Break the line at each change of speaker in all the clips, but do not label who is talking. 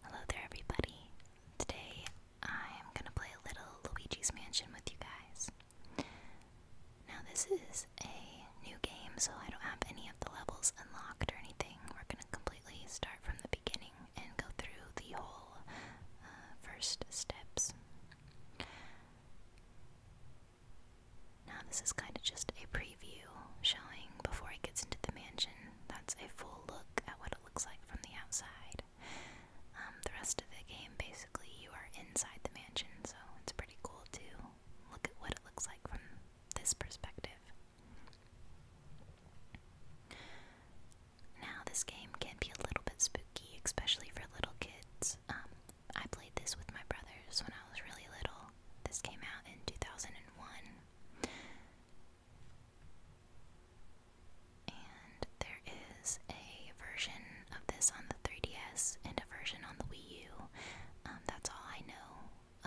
Hello there, everybody. Today I am going to play a little Luigi's Mansion with you guys. Now, this is a new game, so I don't have any of the levels unlocked or anything. We're going to completely start from the beginning and go through the whole uh, first steps. Now, this is kind of just a preview showing before it gets into the mansion. That's a full look at what it looks like from the outside. Um, the rest of the game, basically, you are inside the mansion, so it's pretty cool to look at what it looks like from this perspective. Now, this game can be a little bit spooky, especially for little kids. Um, I played this with my brothers when I was really little, this came out in 2001. And there is a version of this on the 3DS and a version on the Wii U. Um, that's all I know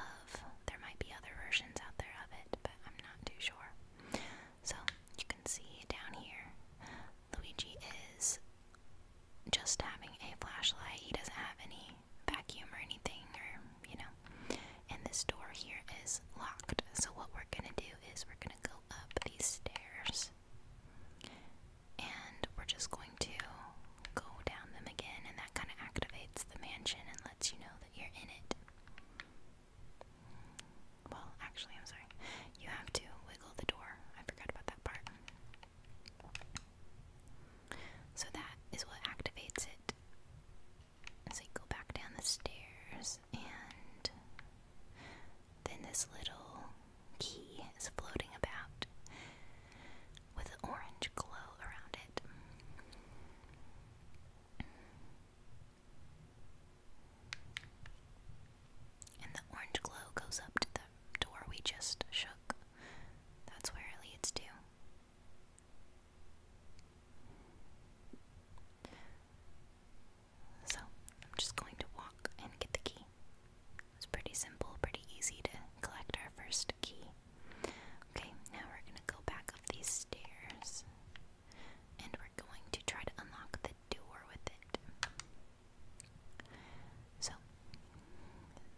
of. There might be other versions out there of it, but I'm not too sure. So you can see down here, Luigi is just having a flashlight. He doesn't have any vacuum or anything, or you know. And this door here is locked. So, what we're gonna do is we're gonna go up these stairs and we're just going to go down them again, and that kind of activates the mansion and lets you know that you're in it. Well, actually, I'm sorry. You have to wiggle the door. I forgot about that part. So that is what activates it. As I go back down the stairs, and then this little key is floating about with an orange glow around it. And the orange glow goes up to the door we just shook. That's where it leads to. So, I'm just going to walk and get the key. It's pretty simple, pretty easy to collect our first key. Okay, now we're going to go back up these stairs and we're going to try to unlock the door with it. So,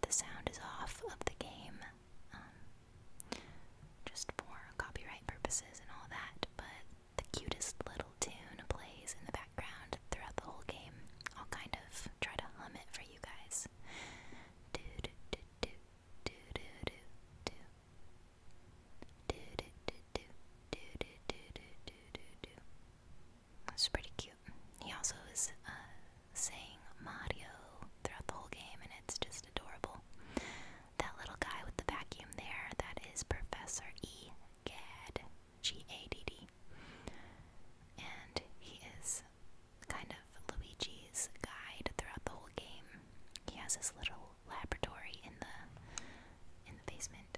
the sound is off of the game um, just for copyright purposes and all that. But the cutest little tune plays in the background throughout the whole game. I'll kind of try to hum it for you guys. Do do do do do do do do do do do do do do do do do. It's pretty cute. He also is uh, saying Mario throughout the whole game, and it's just adorable. That little guy with the vacuum there, that is Professor E. Gadd, G A D D. And he is kind of Luigi's guide throughout the whole game. He has his little laboratory in the in the basement.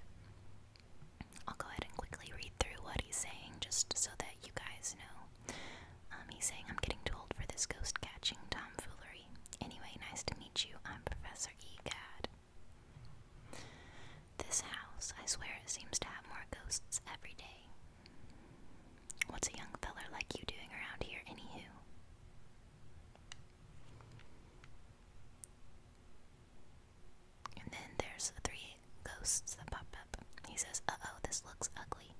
I'll go ahead and quickly read through what he's saying just so that you guys know um, he's saying, I'm getting too old for this ghost catching tomfoolery. Anyway, nice to meet you. I'm Professor Egad. This house, I swear, it seems to have more ghosts every day. What's a young feller like you doing around here, anywho? And then there's 3 ghosts that pop up. He says, Uh oh, this looks ugly.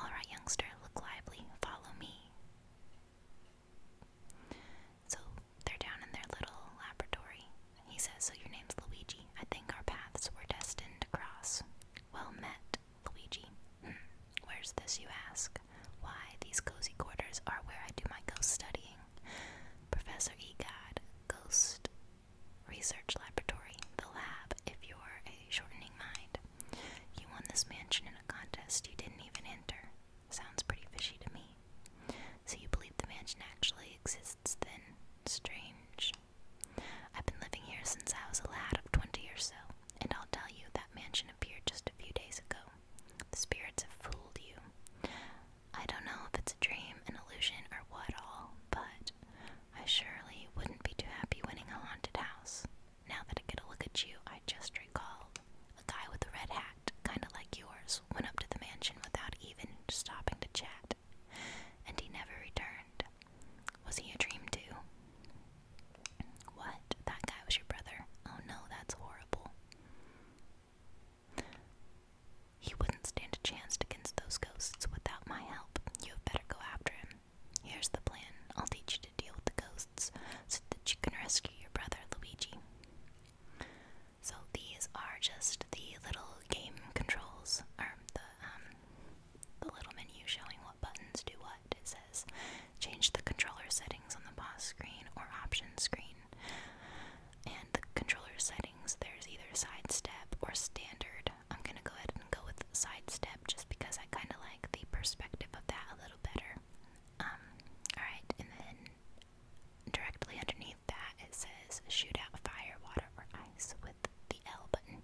Alright, youngster, look lively. Follow me. So they're down in their little laboratory. He says, So your name's Luigi. I think our paths were destined to cross. Well met, Luigi. Hmm, where's this, you ask? Why, these cozy quarters are where I do my ghost studying. Professor Egad, ghost research laboratory, the lab, if you're a shortening mind. You won this mansion in a contest you didn't even enter. Sounds pretty fishy to me. So you believe the mansion actually exists then? Strange. I've been living here since I was a lad of twenty or so, and I'll tell you that mansion appeared just a few days ago. The spirits have fooled you. I don't know if it's a dream, an illusion, or what all, but I surely wouldn't be too happy winning a haunted house. Now that I get a look at you, I just recall A guy with a red hat, kinda like yours, went up to the mansion without even stopping to chat, and he never returned. Was he a dream too? What? That guy was your brother? Oh no, that's horrible. He wouldn't stand a chance against those ghosts without my help. You had better go after him. Here's the plan. I'll teach you to deal with the ghosts so that you can rescue your brother, Luigi. So these are just the little game controls, or the, um, the little menu showing what buttons do what. It says change the controller settings on the pause screen or option screen. And the controller settings, there's either side step or standard. I'm gonna go ahead and go with sidestep just because I kind of like the perspective of that a little better. Um, alright, and then directly underneath that it says shoot out fire, water, or ice with the L button.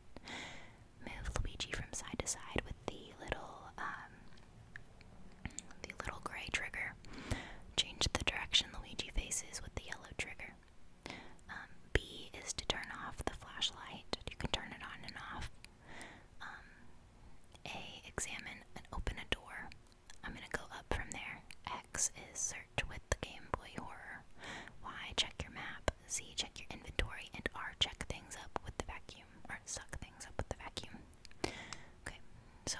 Move Luigi from side to side with the little, um, the little gray trigger. Change the direction Luigi faces with the yellow trigger. Um, B is to turn off the flashlight. You can turn it on and off. Um, a, examine and open a door. I'm going to go up from there. X is search with the Game Boy Horror. Y, check your map. Z, check your inventory. And R, check things up with the vacuum. Or suck things up with the vacuum. Okay, so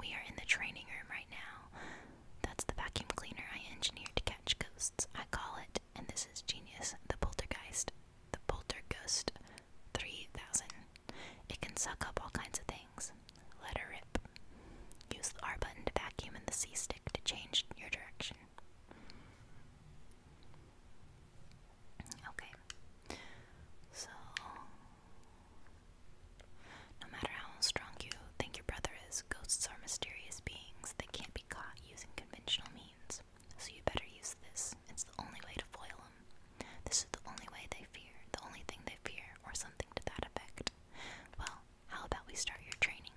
we are in the training room right now. That's the vacuum cleaner I engineered to catch ghosts. I call it, and this is genius, the poltergeist. The poltergust 3000. It can suck up all kinds of things. Let her rip. Use the R button to vacuum and the C stick to change your direction. Okay. So no matter how strong you think your brother is, ghosts are mysterious beings that can't be caught using conventional means. So you better use this. It's the only way to foil them. This is the only way they fear, the only thing they fear, or something to that effect. Well, how about we start your training?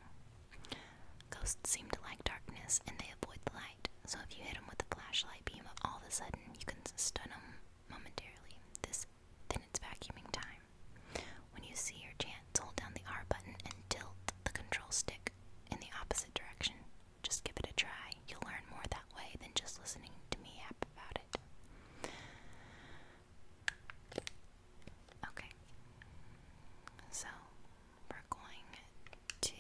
Ghosts seem to like darkness and they avoid the light, so if you hit them with a flashlight beam all of a sudden, you can stun them momentarily. This then it's vacuuming time. When you see your chance, hold down the R button and tilt the control stick in the opposite direction. Just give it a try. You'll learn more that way than just listening to me yap about it. Okay. So, we're going to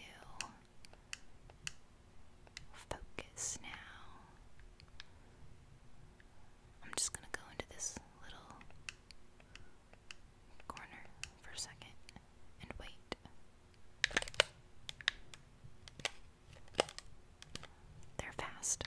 focus now I'm just gonna go into this little corner for a second and wait. They're fast.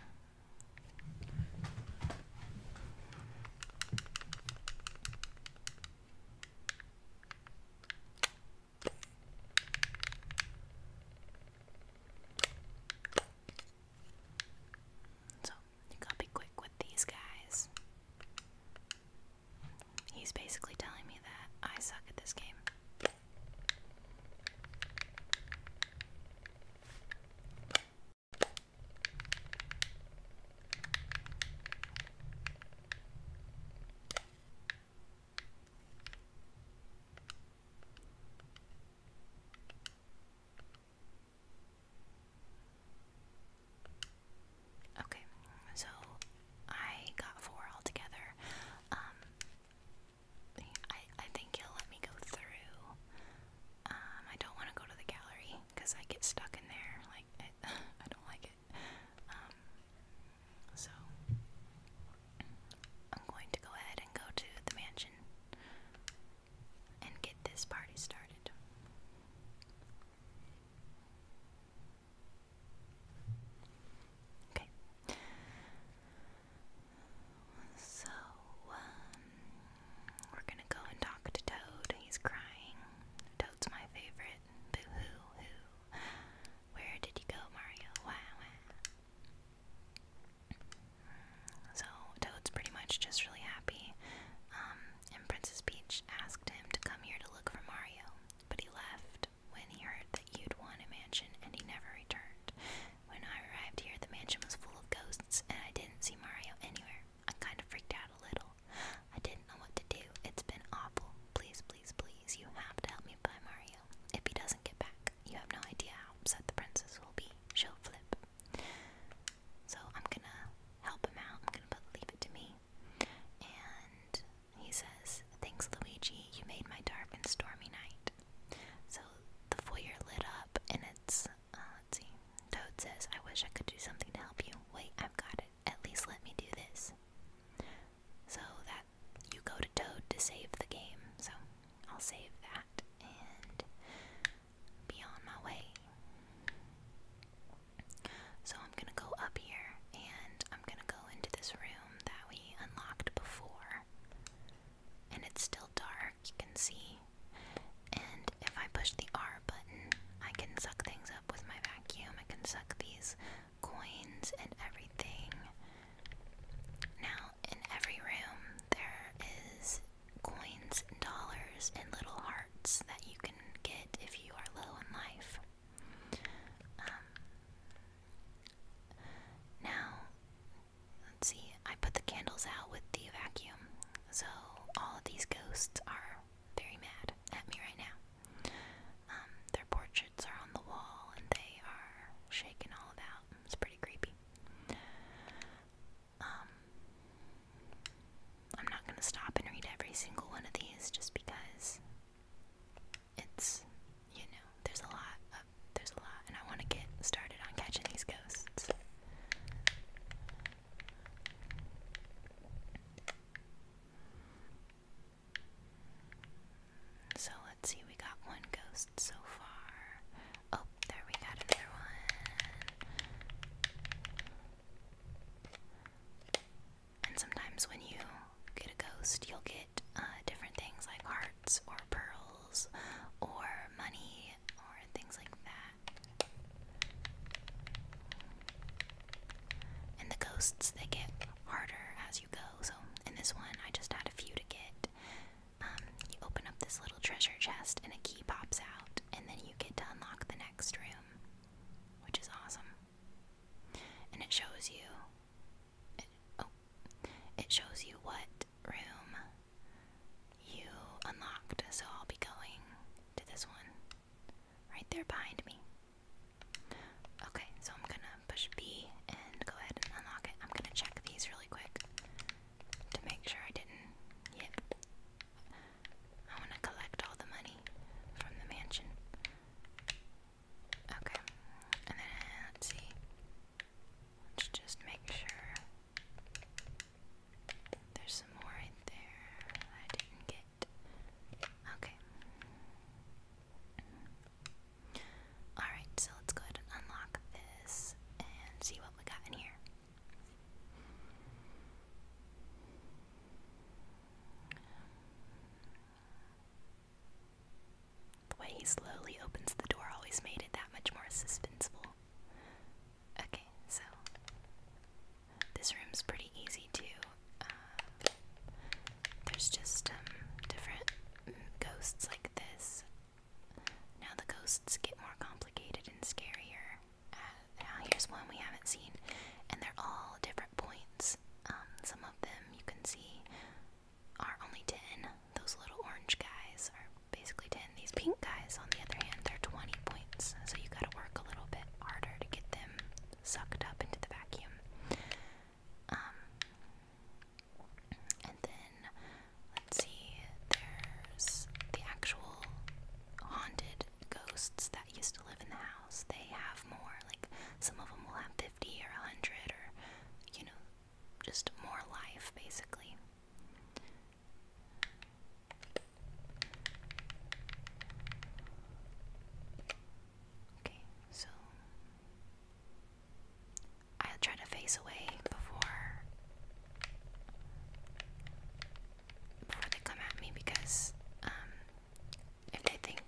So you gotta be quick with these guys. He's basically telling me that I suck at this game. Okay, so I got four altogether. Um, I I think he'll let me go through. Um, I don't want to go to the gallery because I get stuck in there. Like I don't like it. Um, so I'm going to go ahead and go to the mansion and get this party started. Okay. So, um, we're gonna go and talk to Toad. He's crying. Toad's my favorite. Boo hoo hoo. Where did you go, Mario? Wah so Toad's pretty much just really happy. Um, and Princess Peach asked him to come here to look for Mario, but he left when he heard that you'd won a mansion and he never returned. When I arrived here, the mansion was full of ghosts and I didn't see Mario anywhere. I kind of freaked out a little. I didn't know what to do. It's been awful. Please, please, please, you have to help me find Mario. If he doesn't get back, you have no idea how upset the princess will be. She'll flip. So I'm gonna help him out. I'm gonna leave it to me. And he says, Thanks, Luigi. You made my dark and stormy night. So the foyer lit up, and it's, uh, let's see. Toad says, I wish I could do something to help you. Wait, I've got it. At least let me do this. So that you go to Toad to save the game. So I'll save that. And be on my way. So I'm gonna go up here and I'm gonna go into this room that we unlocked before. And it's still dark, you can see. And if I push the R button, I can suck things up with my vacuum. I can suck these coins and everything. Now, in every room, there is coins and dollars and little hearts that you can get if you are low in life. Um, now, let's see, I put the candles out with the vacuum, so all of these ghosts are very mad at me right now. Um, their portraits are on the wall and they are shaken all about. It's pretty creepy. Um, I'm not going to stop and read every single one of these just because it's, you know, there's a lot of, there's a lot, and I want to get started on catching these ghosts. So let's see, we got one ghost so far. Oh, there we got another one. And sometimes when you get a ghost, you'll get uh, different things like hearts or pearls or money or things like that. And the ghosts, they get harder as you go. So in this one, I just had a few to get. Um, you open up this little treasure chest and a key pops out, and then you get to unlock the next room, which is awesome. And it shows you, oh, it shows you what room you unlocked. So I'll be going to this one right there behind me. Okay, so I'm gonna push B and go ahead and unlock it. I'm gonna check these really quick to make sure I didn't. Yep. I want to collect all the money from the mansion. Okay. And then let's see. let just make sure. There's some more right there I didn't get. Okay. Alright, so let's go ahead and unlock this and see what we got in here. The way he slowly opens the door always made it that much more suspenseful. Okay, so this room's pretty easy to. Um, there's just um, different ghosts like this now the ghosts get more complicated and scarier. Uh, now here's one we haven't seen, and they're all different points. Um, some of them you can see are only 10. Those little orange guys are basically 10. These pink guys, on the other hand, they're 20 points, so you gotta work a little bit harder to get them sucked up into the vacuum. Um, and then, let's see, there's the actual haunted ghosts that used to live in the house. They have more, like, some of them will have 50 or 100 or, you know, just more life, basically. Okay, so I'll try to face away before before they come at me because um, if they think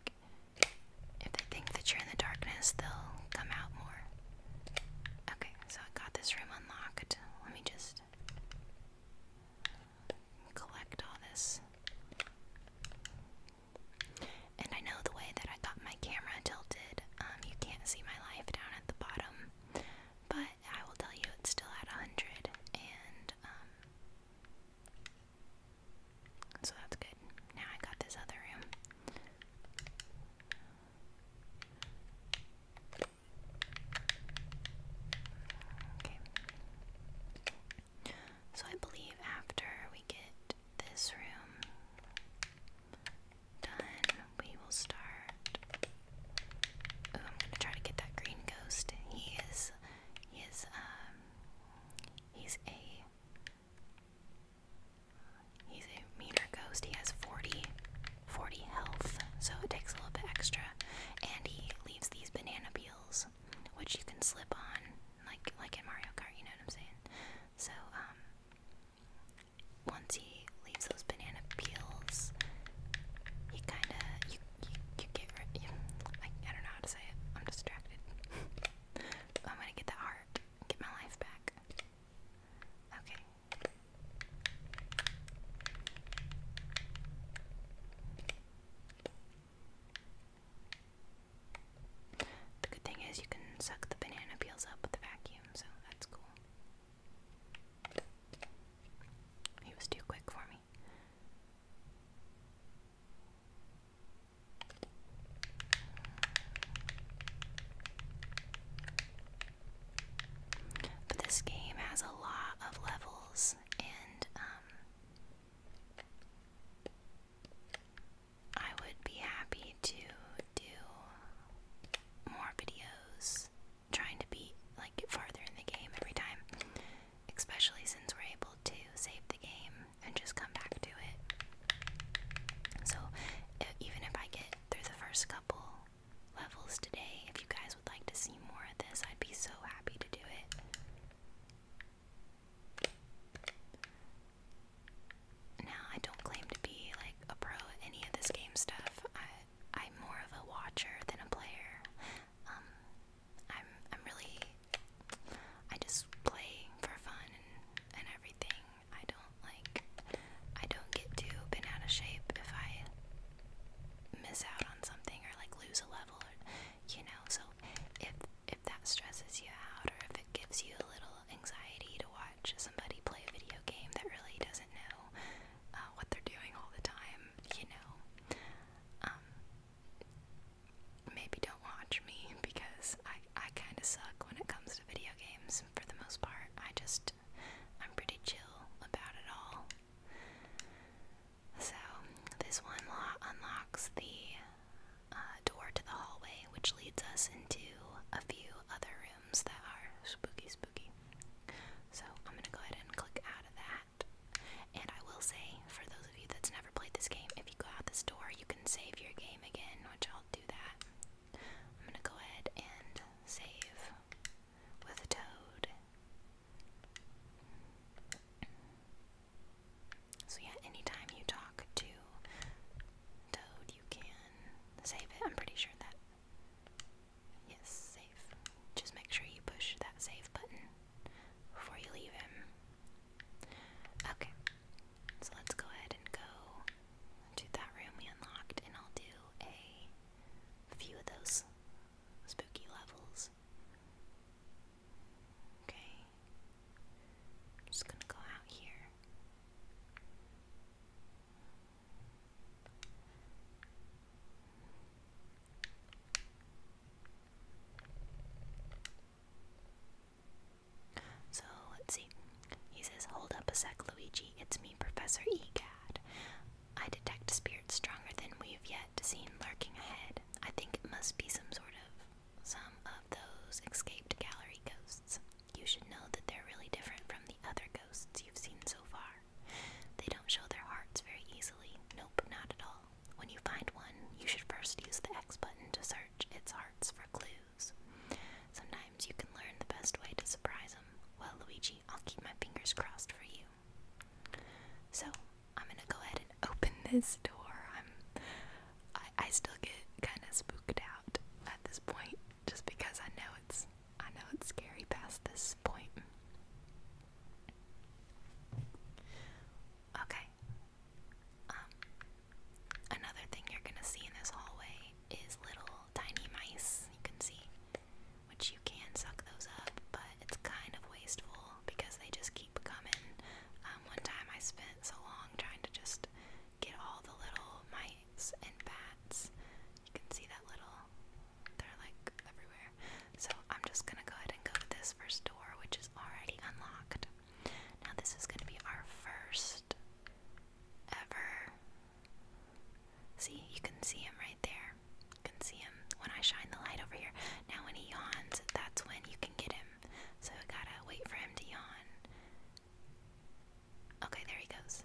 if they think that you're in the darkness they'll come out more. Okay, so I got this room unlocked. Let me just collect all this. And I know the way that I got my camera tilted good. Um, you can't see my life down at the bottom, but I will tell you it's still at 100, and um, so that's good. Now I got this other room. Okay. So I believe after we get this room, done, we will start. I'm gonna try to get that green ghost. He is, he is, um, he's a, he's a meaner ghost. He has 40, health, so it takes a little bit extra. And he leaves these banana peels, which you can slip on, like, like in Mario Kart, you know what I'm saying? So, um, once he leaves those banana peels, he kind of you, you get I don't know how to say it. I'm distracted. I'm gonna get that heart. Get my life back. Okay. The good thing is you can suck the banana peels up with a vacuum so that's cool. He was too quick for me. But this game has a lot of levels and um, I would be happy to do more videos trying to be like get farther in the game every time, especially since we're able to save the game and just come back to it. So, even if I get through the first couple levels today, if you guys would like to see more of this, I'd be so happy to do it. Now, I don't claim to be like a pro any of this game stuff. I I'm more of a watcher than a player. Um, I'm I'm really I just play for fun and, and everything. I don't like I don't get too bent out of shape if I miss out on something or like lose a level or you know. So if if that stresses you out or if it gives you a little anxiety to watch somebody play a video game that really doesn't know uh, what they're doing all the time, you know. Um, maybe don't watch me because I, I kind of suck when it comes to video games for the most part. I just, I'm pretty chill about it all. So, this one unlocks the uh, door to the hallway, which leads us into a few other rooms that are spooky, spooky. So I'm gonna go ahead and click out of that. And I will say, for those of you that's never played this game, if you go out this door, you can save your game again, which I'll do that. I'm gonna go ahead and save with toad. So yeah, anytime you talk to Toad, you can save it. I'm pretty sure that is safe. Just make sure you push that save button before you leave him. Okay, so let's go ahead and go to that room we unlocked, and I'll do a few of those spooky levels. Okay, just gonna go out here. So let's see. He says, Hold up a sec, Luigi. It's me, Professor Egad. I detect spirits stronger than we've yet seen lurking ahead. I think it must be some sort of some of those escaped gallery ghosts you should know that they're really different from the other ghosts you've seen so far. They don't show their hearts very easily. Nope, not at all. When you find one, you should first use the X button to search its hearts for clues. Sometimes you can learn the best way to surprise them. Well, Luigi, I'll keep my fingers crossed for you. So, I'm gonna go ahead and open this door. I'm I, I still get kind of spooked out at this point, just because I know it's I know it's scary past this point. Okay. Um, another thing you're gonna see in this hallway is little tiny mice. You can see, which you can suck those up, but it's kind of wasteful because they just keep coming. Um, one time I spent so long trying to just get all the little mice and bats. You can see that little, they're like everywhere. So I'm just gonna go ahead and go to this first door, which is already unlocked. Now, this is gonna be our first ever. See, you can see him right there. You can see him when I shine the light over here. Now, when he yawns, that's when you can get him. So, gotta wait for him to yawn. Okay, there he goes.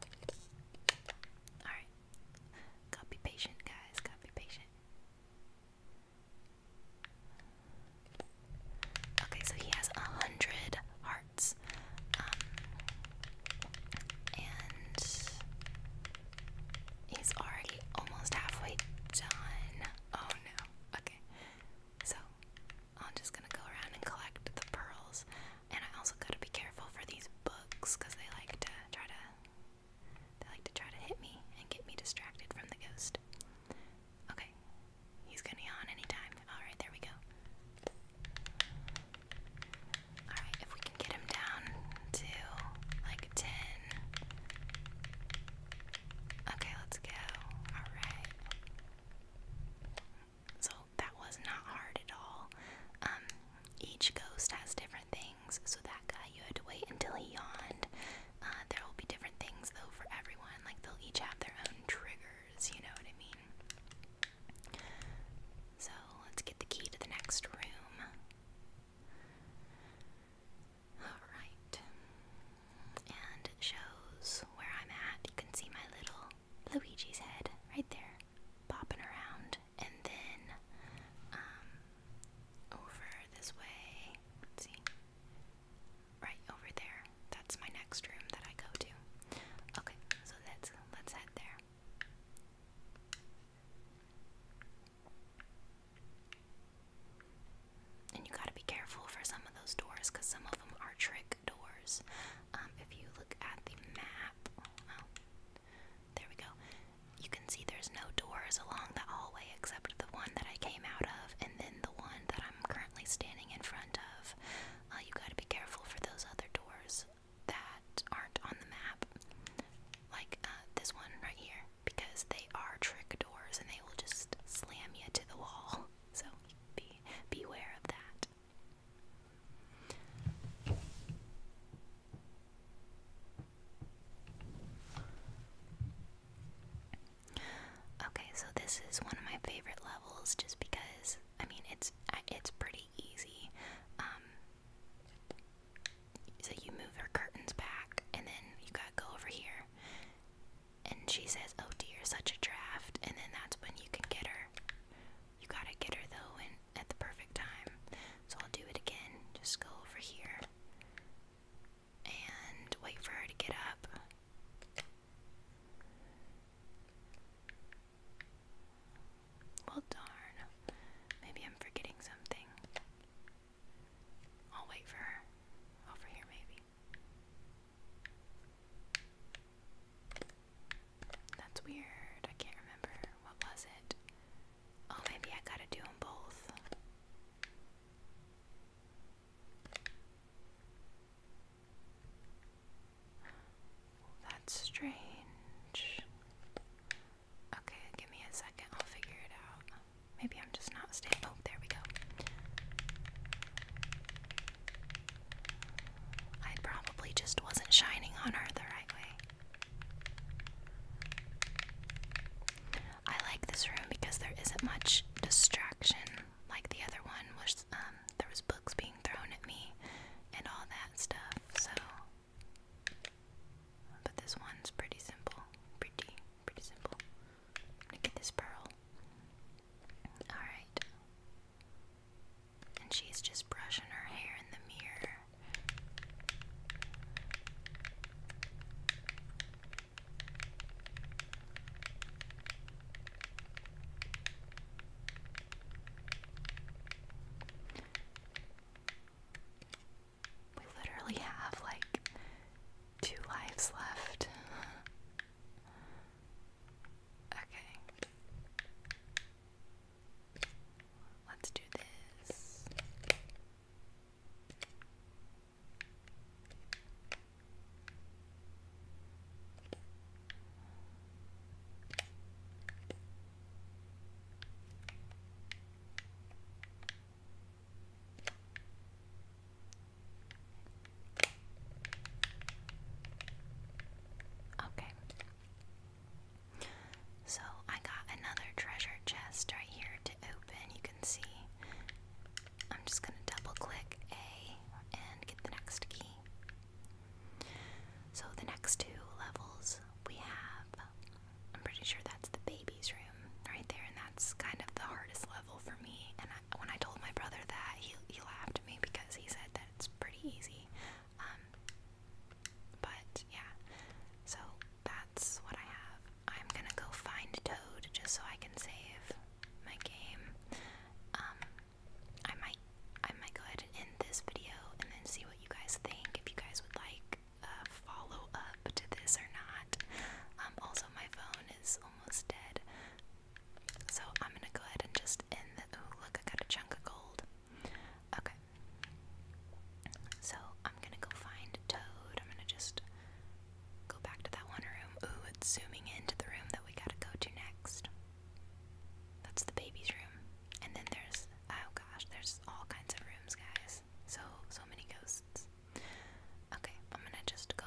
Alright. be patient, guys. be patient. Okay, so he has a hundred hearts. Um, and he's already almost halfway done. Oh no. Okay. So I'm just gonna go around and collect the pearls. And I also gotta be careful for these books because they like to try to they like to try to hit me and get me distracted from the ghost. Okay. He's gonna yawn anytime. Alright, there we go. Alright, if we can get him down to like ten. Okay, let's go. Alright. So that was not hard at all. Um, each ghost has different things, so that guy you had to wait until he yawned. Uh, there will be different things though for everyone, like they'll each have their own triggers, you know what I mean? So let's get the key to the next room. Alright and shows where I'm at. You can see my little Luigi's head right there, popping around. And then um, over this way, see, right over there. That's my next room that I go to. Okay, so let's let's head there and you gotta be careful for some of those doors because some of them are trick doors. Um, if you look at the map, oh, there we go. You can see there's no doors along the hallway except the one that I came out of, and then the one that I'm currently standing in front of. Uh, you gotta be careful for those other doors that aren't on the map, like uh, this one right here, because they are trick doors and they will just slam you to the wall. So be beware of that. Okay, so this is one of my favorite levels, just because I mean it's it's pretty easy. Um, so you move your curtains back, and then you gotta go over here, and she says, "Oh dear, such a draft." And then that's when you can get her. You gotta get her though, and at the perfect time. So I'll do it again. Just go over here and wait for her to get up. Well, darn. Maybe I'm forgetting something. I'll wait for her. Over here, maybe. That's weird. I can't remember. What was it? Oh, maybe I gotta do them both. That's strange. Okay, give me a second. I'll figure it out. Maybe I'm just not staying. Oh, there we go. I probably just wasn't shining on her the right way. I like this room because there isn't much distraction like the other one was um, there was books being thrown at me and all that stuff. So but this one's pretty simple. Pretty Pretty simple. I'm this pearl. Alright. And she's just brushing her hair in the mirror. We literally have like two lives left. Okay. Let's do this. Okay. So I got another treasure chest right here to open. You can see I'm just going to double click A and get the next key. So the next two levels we have, I'm pretty sure that's the baby's room right there, and that's kind of the hardest level for me, when I told my brother that, he he laughed at me because he said that it's pretty easy. Um, but yeah, so that's what I have. I'm gonna go find Toad just so I can save my game. Um, I might I might go ahead and end this video and then see what you guys think. If you guys would like a uh, follow up to this or not. Um, also, my phone is almost dead. So I'm gonna go ahead and just end the. Oh, look, I got a chunk of gold. Okay. So I'm gonna go find Toad. I'm gonna just go back to that one room. Ooh, it's zooming into the room that we gotta go to next. That's the baby's room. And then there's. Oh gosh, there's all kinds of rooms, guys. So, so many ghosts. Okay, I'm gonna just go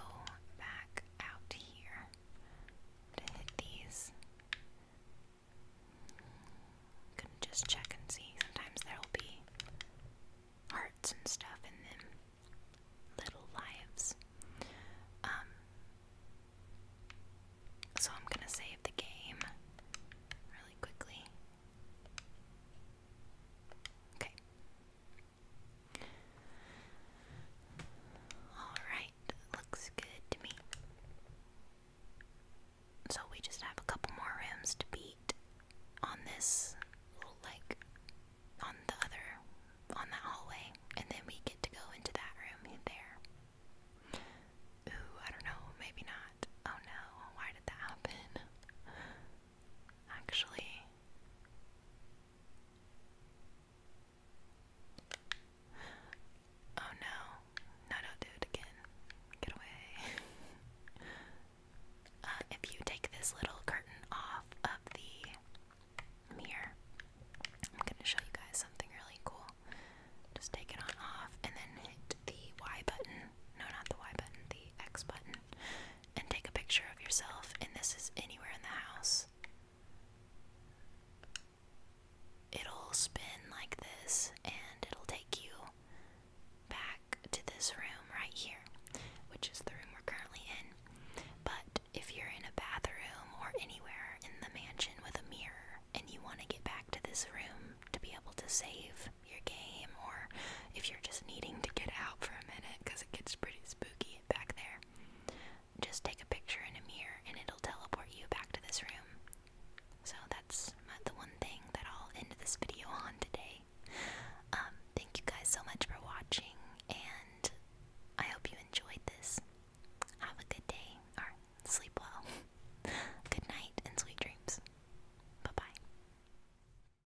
back out here to hit these. i just check and see. Sometimes there'll be hearts and stuff in them. Little lives. Um so I'm gonna save the game really quickly. Okay. Alright, looks good to me. So we just have a couple more rooms to beat on this like on the other on that hallway, and then we get to go into that room there. Ooh, I don't know, maybe not. Oh no, why did that happen? actually. Oh no. No, don't Get away. Uh, if you take this little curtain off of the mirror, I'm going to show you guys something really cool. Just take it on off and then hit the Y button. No, not the Y button, the X button and take a picture of yourself, and this is anywhere in the house. It'll spin like this and it'll take you back to this room right here, which is the room we're currently in. But if you're in a bathroom or anywhere in the mansion with a mirror and you want to get back to this room to be able to save your game, or if you're just needing to get out for a minute because it gets pretty spooky back there. Just take a picture in a mirror and it'll teleport you back to this room. So that's the one thing that I'll end this video on today. Um, thank you guys so much for watching, and I hope you enjoyed this. Have a good day, or sleep well. good night, and sweet dreams. Bye bye.